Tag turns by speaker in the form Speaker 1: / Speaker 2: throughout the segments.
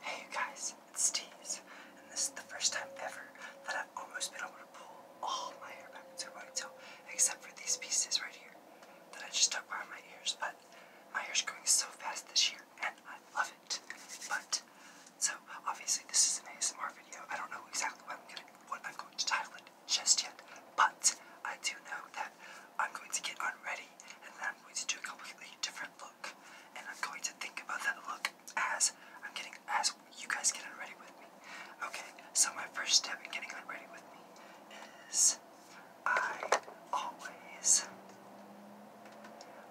Speaker 1: Hey guys, it's Steez, and this is the first time ever that I've almost been able to pull all my hair back into a ponytail, except for these pieces right here that I just tuck behind my ears. But my hair's growing so fast this year, and I love it. But so obviously this is an ASMR video. I don't know exactly what I'm going to title it just yet, but I do know that I'm going to get unready and then I'm going to do a completely different look. And I'm going to think about that look as I'm getting as you guys get unready with me. Okay, so my first step in getting unready with me is I always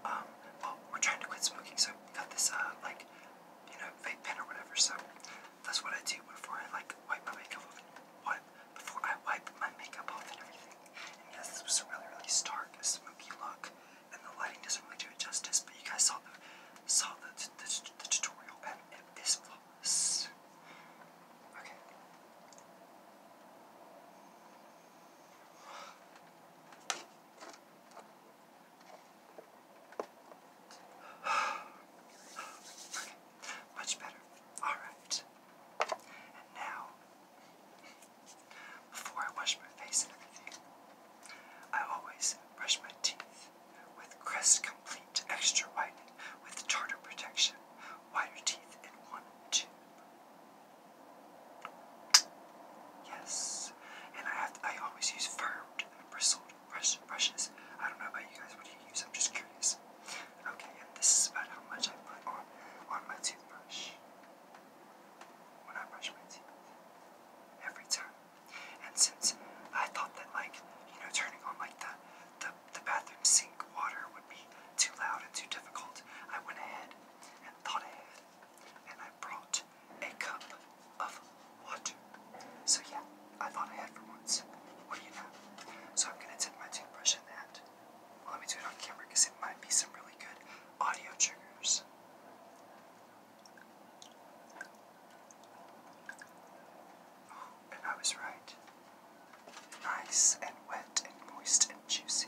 Speaker 1: um well we're trying to quit smoking, so I got this uh like you know vape pen or whatever, so that's what I do before I like wipe my makeup off and before I wipe my makeup off and everything. And yes, this was a really, really stark, smoky look, and the lighting doesn't really do it justice. But you guys saw the saw the the, tutorial, at this place. okay. Much better. Alright. And now, before I wash my face and everything, I always brush my teeth with Crest Complete Extra Whitening with Tartar Protection. Whiter teeth in one tube. Yes. And I have I always use firmed bristled brush, brushes. I don't know about you guys. What do you use? I'm just curious. Okay, and this is about how much I put on, on my toothbrush when I brush my teeth every time. And since I thought that like, you know, turning on like the, the, the bathroom sink water would be too loud and too difficult, I went ahead and thought ahead and I brought a cup of water. So yeah, I thought ahead for once. What do you know? So I'm gonna dip my toothbrush in that let me do it on camera because it might be some really good audio triggers. I was right. Nice and wet and moist and juicy.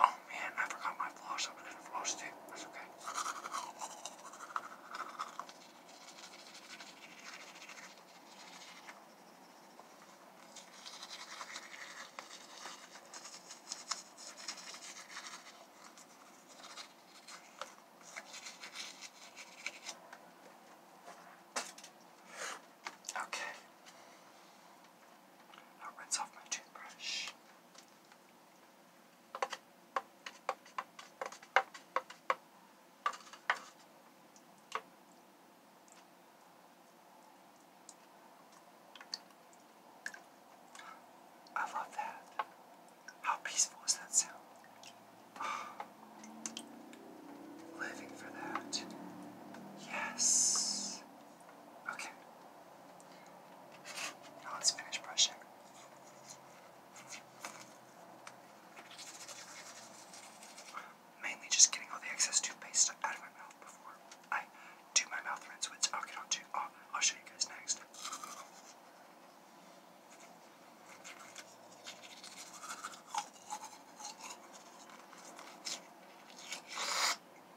Speaker 1: Oh man, I forgot my floss. I am gonna floss too. That's okay. Okay. i rinse off my toothbrush. I love that. How peaceful is that sound? living for that. Yes. Okay. Now let's finish brushing. Mainly just getting all the excess toothpaste out of my mouth before I do my mouth rinse, which I'll get onto. Oh, I'll show you guys next.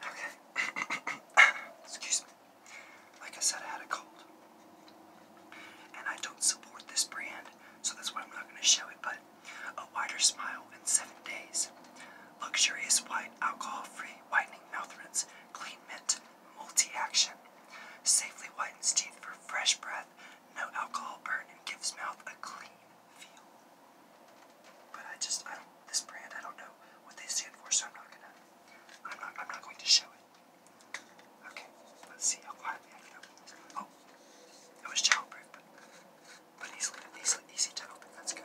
Speaker 1: Okay. Excuse me. Like I said, I had a cold. And I don't support this brand, so that's why I'm not going to show it, but a wider smile in seven days. Luxurious white, alcohol free, whitening mouth rinse, clean mint, multi action. Safely whitens teeth for fresh breath, no alcohol burn, and gives mouth a clean feel. But I just, I, this brand, I don't know what they stand for, so I'm not gonna, I'm not, I'm not going to show it. Okay, let's see how quietly I can open this. Oh, it was childproof, but, easily, easily, easy to open. That's good.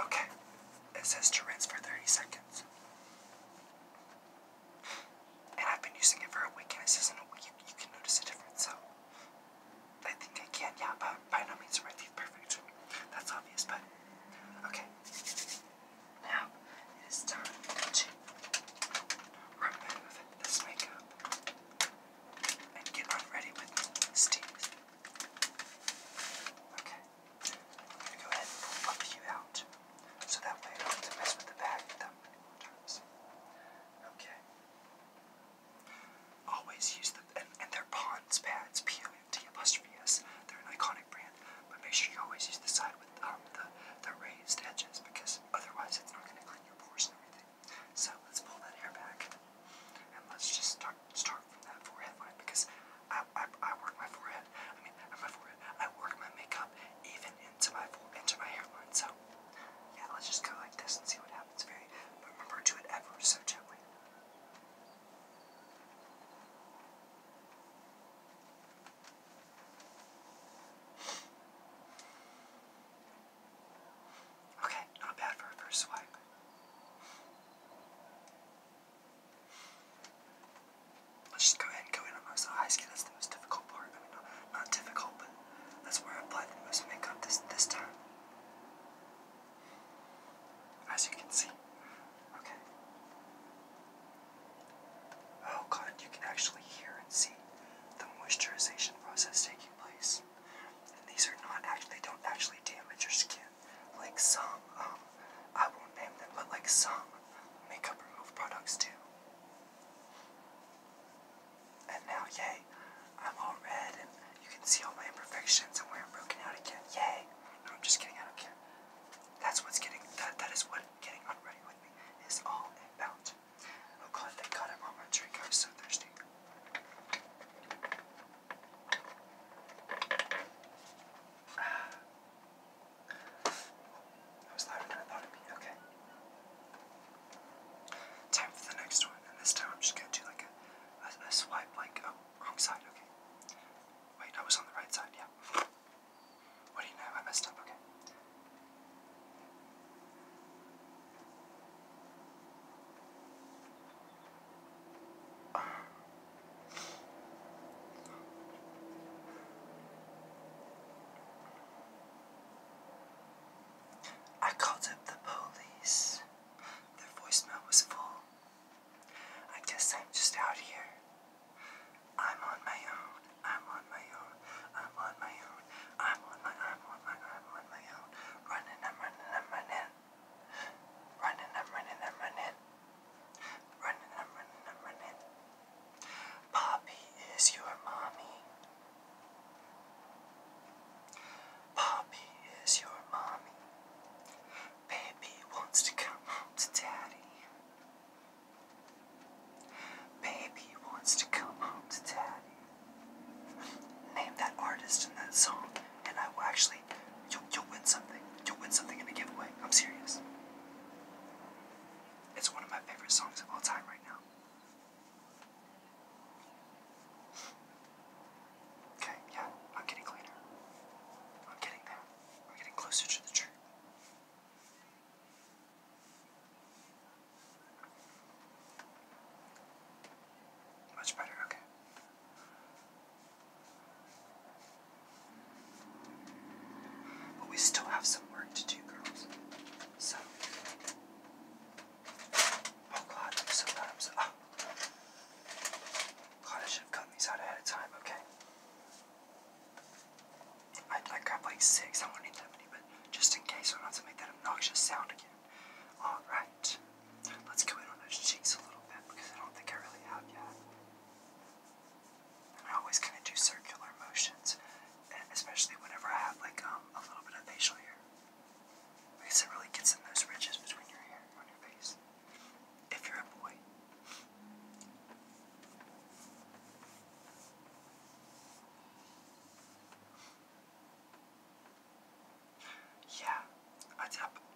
Speaker 1: Okay, it says to rinse for 30 seconds. And I've been using it for a week, it says in a week you, can notice a difference, so I think I can, yeah, but by no means are my perfect. That's obvious, but okay. Now it is time to remove this makeup and get ready with this Okay, I'm gonna go ahead and pull a out so that way I don't have to mess with the bag that many times. Okay. Always use the and, their Pond's pads, P O T apostrophe S. They're an iconic brand, but make sure you always use the side with um, the, the raised edges because otherwise it's not going to clean your pores and everything. So let's pull that hair back and let's just start start from that forehead line because I, I, I work my forehead. I mean, my forehead. I work my makeup even into my into my hairline. So yeah, let's just go like this and see what happens. Very, but remember, do it ever so gently. Okay, not bad for a first swipe. Let's just go ahead and go in on those eyes. that's the most difficult part. I mean, not, difficult, but that's where I apply the most makeup this this time. As you can see. Okay. Oh god, you can actually hear and see the moisturization process taking place. And these are not actually, they don't actually damage your skin. Like some, um, I won't name them, but like some makeup remove products do. And now, yay, I'm all red and you can see all my imperfections and where I'm broken out again. Yay! No, I'm just kidding. I don't care. That's what's getting. That that is what getting ready with me is all about. Oh God! Thank God I brought my drink. I was so thirsty. Ah. That was louder than I thought it'd be. Okay. Time for the next one, and this time I'm just gonna do like a, a swipe, like a oh, wrong side, okay. Wait, I was on the right side, yeah. What do you know? I messed up, okay. I called up the police. Their voicemail was full I guess I'm just out here. I'm on my own. I'm on my own. I'm on my own. I'm on my i I'm on my own. Running, I'm running, I'm running. Running, I'm running, I'm running. Running, I'm running, I'm running. Poppy is your mommy. Poppy is your mommy. Baby wants to come home to daddy. Baby wants to come home to daddy. Name that artist and that song, and I will actually, you'll, you'll win something. You'll win something in a giveaway. I'm serious. It's one of my favorite songs of all time right now. Okay, yeah, I'm getting cleaner. I'm getting there. I'm getting closer to the truth. Much better, okay. But we still have some work to do, girls. So, Oh god, sometimes. Ah. God, I should have gotten these out ahead of time, okay. I'd like like six, I won't need that many, but just in case, I don't have to make that obnoxious sound again. Alright, let's go in on those cheeks a little bit because I don't think I really have yet. And I always kind of do circular motions, especially whenever I have like um, a little bit of facial hair. I guess it really gets in those ridges between your hair and your face. If you're a boy. Yeah, I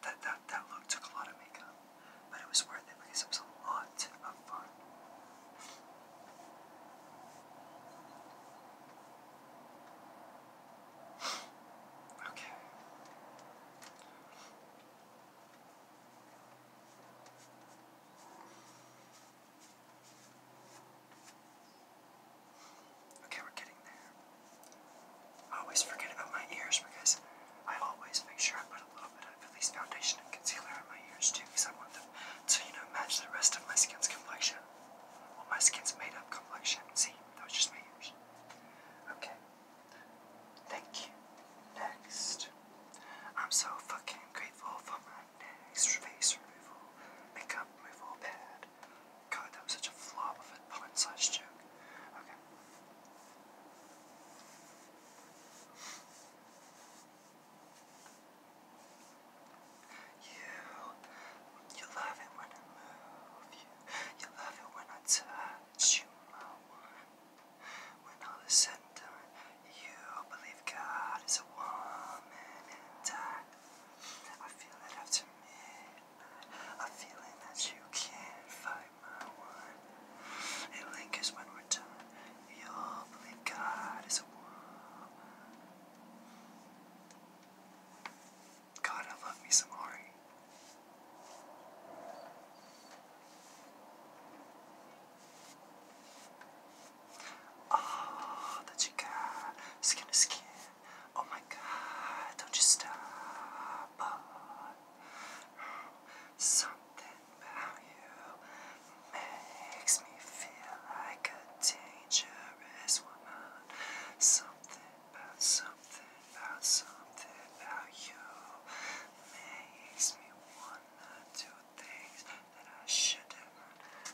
Speaker 1: that, that that look took a lot of makeup, but it was worth it because it was a lot of fun okay. Okay, we're getting there. I always forget about my ears because I always make sure I put a little bit of at least foundation and concealer on my ears too because I want them to, you know, match the rest of my skin's complexion. Well, my skin's made up complexion, see? That was just my ears. Okay. Thank you. Next. I'm so fucking grateful for my next face removal, makeup removal pad. God, that was such a flop of a pun slash joke. Okay. You, you love it when I move you. You love it when I touch you, my one. When all is said and done, you believe God is a woman and I, I feel that after me, A feeling that you can't find my one. It lingers when we're done. You believe God is a woman. God, I love me some Ari. Oh, the chica, skin to skin. Oh my God, don't you stop. something about you makes me feel like a danger always wanna something about something about something about you makes me wanna do things that I shouldn't.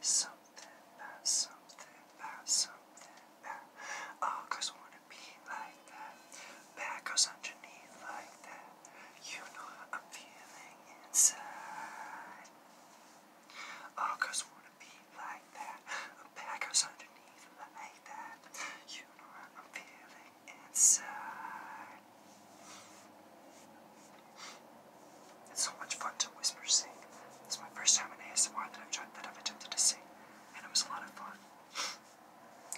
Speaker 1: Something about something about something about. wanna be like that. Bad underneath like that. You know how I'm feeling inside. Ockers wanna be like that, a packers underneath like that. You know I'm feeling inside. It's so much fun to whisper sing. It's my first time in ASMR that I've tried that I've attempted to sing, and it was a lot of fun.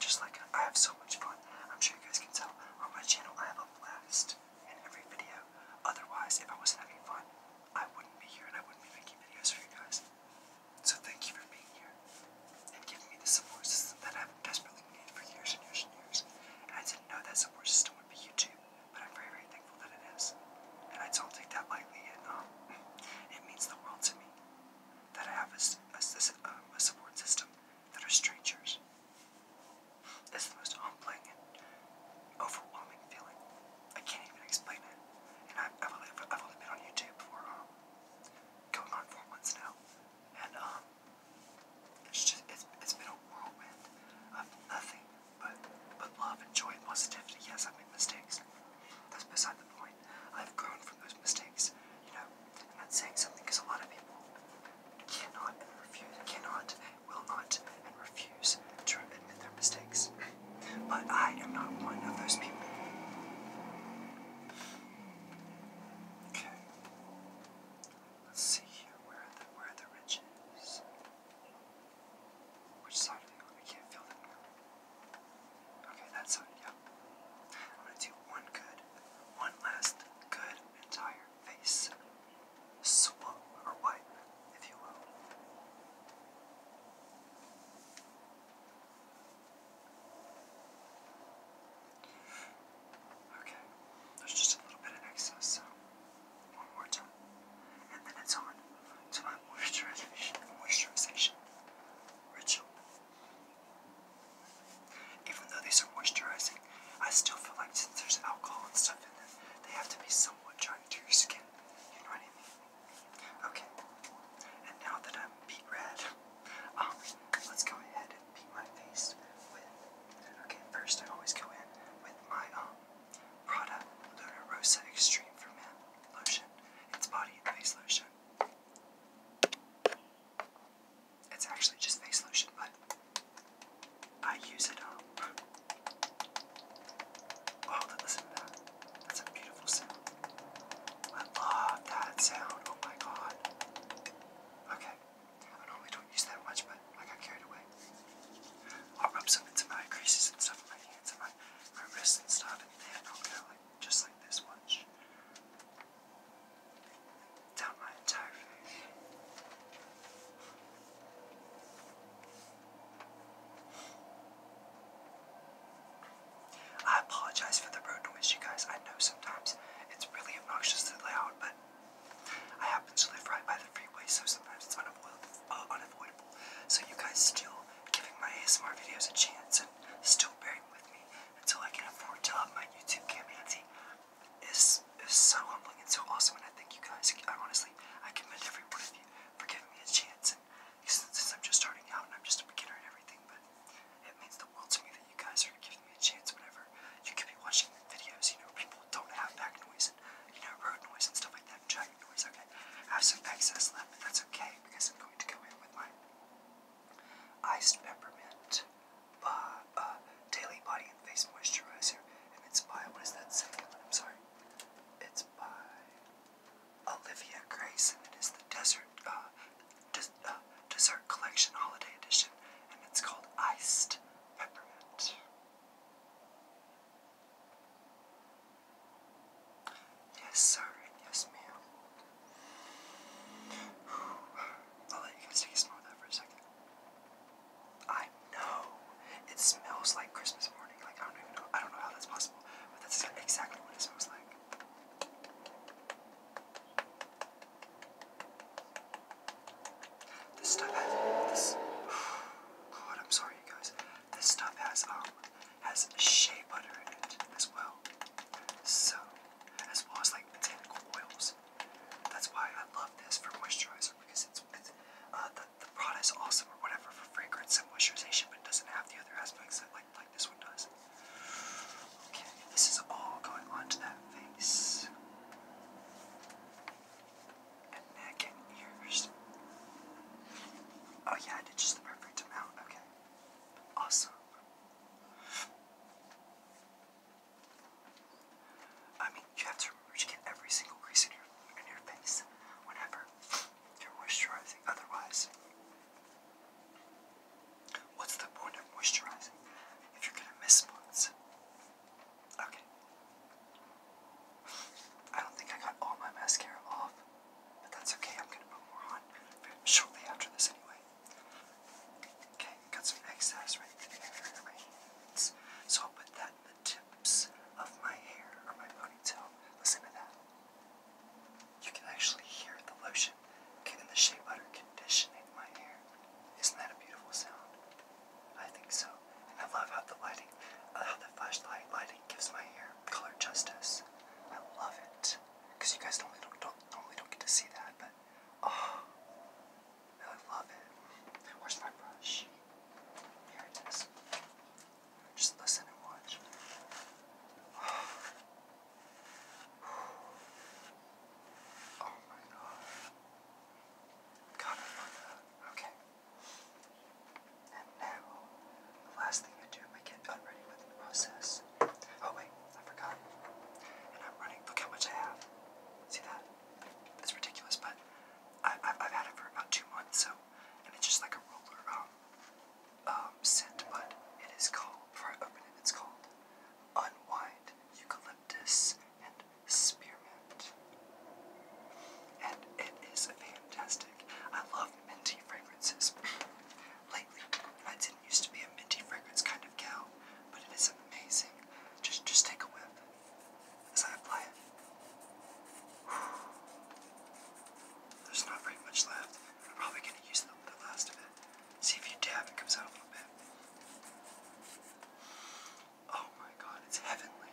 Speaker 1: Just like I have so much fun. I'm sure you guys can tell on my channel I have a blast in every video. Otherwise, if I wasn't having fun, I wouldn't be here and I wouldn't be making videos for you guys. So thank you for being here and giving me the support system that I've desperately needed for years and years and years. I didn't know that support system would be YouTube, but I'm very, very thankful that it is. And I don't take that lightly, and um, it means the world to me that I have a, um, a support system that are strangers. It's the most humbling and overwhelming feeling I can't even explain it. And I've, I've, only, been on YouTube for um, going on four months now. And um, it's just, it's, it's been a whirlwind of nothing but, but love and joy and positivity. Yes, I've made mistakes. That's beside the point. I've grown from those mistakes, you know. I'm not saying something because a lot of people cannot and refuse, cannot will not, and refuse to admit their mistakes. But I am not one of those people. Okay. Let's see here. Where the, where are the ridges? Which side I can't feel them Okay, that side, yep. I'm gonna do one good, one last good entire face swap or wipe, if you will. Okay, there's just a little bit of excess, so one more time. And then it's on to my moisturization, moisturization ritual. Even though these are moisturizing, I still feel like since there's alcohol and stuff in them, they have to be so somewhat joined your skin. You know what Okay. And now that I'm beat red, um, let's go ahead and beat my face Okay, first I always go in with my um Prada Luna Extreme for Men lotion. It's body and face lotion. It's actually just face lotion, but I use it all. Oh, listen to that. That's a beautiful sound. I love that sound. Oh my god. Okay. I normally don't use that much, but I got carried away. I'll rub some into my creases and stuff in my hands and my, my wrists and stuff, and then I'll go like just like this. Watch. Down my entire face. I apologize for the road noise, you guys. I know sometimes it's really obnoxious obnoxiously loud, but I happen to live right by the freeway, so sometimes it's unavoidable. Uh, so you guys still giving my ASMR videos a chance and still bearing with me until I can afford to up my YouTube camancy is is so humbling and so awesome, and I thank you guys. I honestly, I commend every one of you for giving me a chance. And since, I'm just starting out and I'm just a beginner at everything, but it means the world to me that you guys are giving me a chance. Whatever you could be watching videos, you know, people don't have back noise and you know road noise and stuff like that, and traffic noise. Okay, I have some excess left, but that's okay because I'm going to go in with my iced peppermint uh, uh, Daily Body and Face Moisturizer, and it's by, what is that second I'm sorry. It's by Olivia Grace, and it is the Desert, uh, uh Collection Holiday Edition, and it's called Iced Peppermint. Yes, sir, yes, ma'am. I'll let you guys take a smell of for a second. I know it smells like Christmas morning. Like I don't even know. I don't know how that's possible, but that's exactly what it smells like. This stuff has this. God, I'm sorry, guys. This stuff has um has shea butter in it as well. So, as well as like botanical oils that's why I love this for moisturizer because it's, with uh, the, the product is awesome or whatever for fragrance and moisturization, but it doesn't have the other aspects that like like this one does. Okay, this is all going onto that face and neck and ears. Oh yeah, I did just the perfect amount. Okay, awesome. I mean, you have to remember to get every single crease in your, in your face whenever you're moisturizing. Otherwise, what's the point of moisturizing if you're gonna miss spots? Okay. I don't think I got all my mascara off, but that's okay. I'm gonna put more on shortly after this anyway. Okay, got some excess right there So I'll put that in the tips of my hair or my ponytail. Listen to that. You can actually hear the lotion getting the shea butter conditioning my hair. Isn't that a beautiful sound? I think so. And I love how the lighting, uh, how the flashlight lighting gives my hair color justice. I love it. Because you guys normally don't, don't, normally don't get to see that, but oh, I love it. Where's my brush? Here it is. Just listen and watch. Oh my god. God, I Okay. And now, the last thing I do, I get unready with the process. Oh wait, I forgot. And I'm running. Look how much I have. See that? It's ridiculous, but I, have had it for about two months, so, and it's just like a roller um, um, scent, but it is called, before I open it, it's called Unwind Eucalyptus and Spearmint. And it is fantastic. I love minty fragrances lately. I didn't used to be a minty fragrance kind of gal, but it is amazing. Just, just take a whiff as I apply it. There's not very much left. I'm probably going to use the, the last of it. See if you dab, it comes out a little bit. Oh my god, it's heavenly.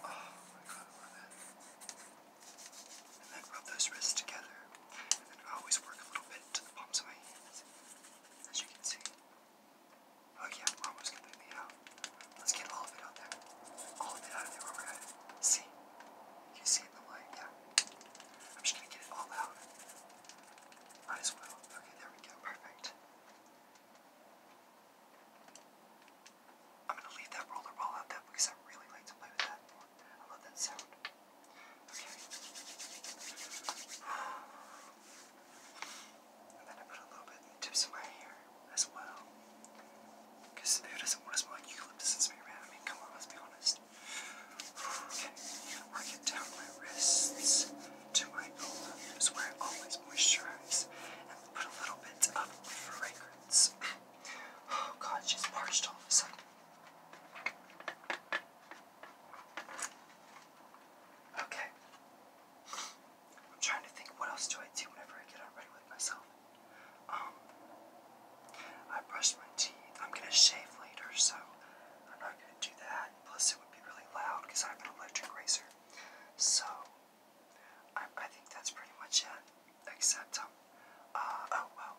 Speaker 1: Oh my god, I love it. And then rub those wrists together. And then I always work a little bit to the palms of my hands, as you can see. Oh yeah, we're almost completely out. Let's get all of it out there. All of it out of there while we're at it. See? Can you see it in the light? Yeah. I'm just gonna get it all out. Might as well. Okay, there we go. Perfect. I'm gonna leave that rollerball out there because I really like to play with that. I love that sound. Okay. And then I put a little bit in my hair as well. Because who doesn't want to smell eucalyptus and spray I mean, come on, let's be honest. Okay, work it down my wrists to my elbows where I always moisturize and put a little bit of fragrance oh god, she's parched all of a sudden. Okay. I'm trying to think what else do I do whenever I get unready with myself. Um I brushed my teeth. I'm gonna shave later, so I'm not gonna do that. Plus it would be really loud because I have an electric razor. So I, think that's pretty much it. Except, um, uh, oh well.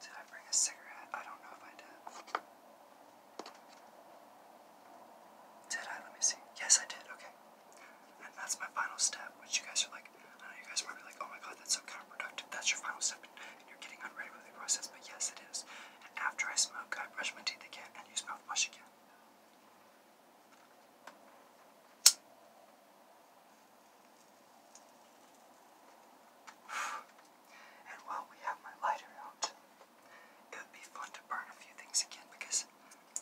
Speaker 1: Did I bring a cigarette? I don't know if I did. Did I? Let me see. Yes, I did. Okay. And that's my final step, which you guys are like, I know you guys are probably like, oh my god, that's so counterproductive. That's your final step, and you're getting unready with the process, but yes, it is. And after I smoke, I brush my teeth again and use mouthwash again. And while we have my lighter out, it would be fun to burn a few things again because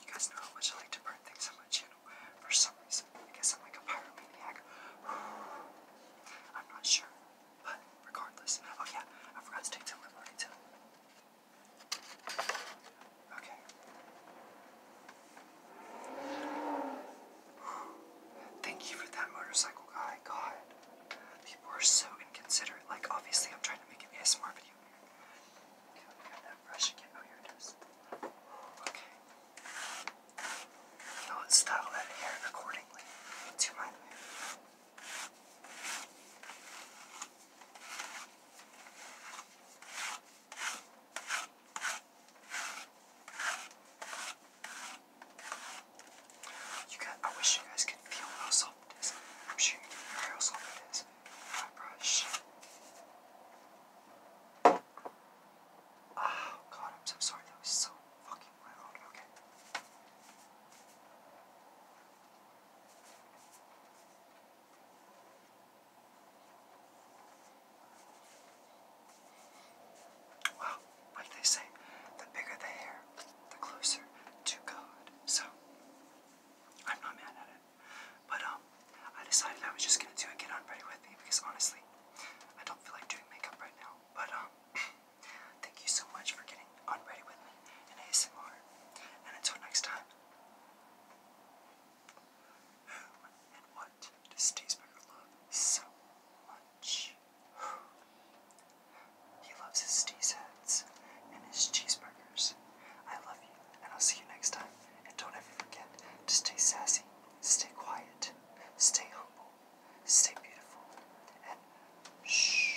Speaker 1: you guys know how much I like to burn things on my channel for some reason. I guess I'm like a pyromaniac. I'm not sure, but regardless. Oh yeah, I forgot to take some liberty too. Okay. Thank you for that motorcycle guy. God. People are so inconsiderate. Like, obviously, I'm trying to make an ASMR video here. Okay, let that brush again. Oh, here Okay. style that hair accordingly to my you guys, I wish you guys could feel how soft it is. I'm sure you can hear how soft it is. My brush. Oh god, I'm so sorry. That was so fucking loud. Okay. Well, what they say? The bigger the hair, the closer to God. So, I'm not mad at it. But, um, I decided I was just gonna do it. get on ready with me because honestly, I don't feel like doing makeup right now. But, um, thank you so much for getting on ready with me in ASMR. And until next time, who and what does love so much? He loves his steez heads and his cheeseburgers. I love you, and I'll see you next time. And don't ever forget to stay sassy, stay quiet, stay humble, stay beautiful, and shh.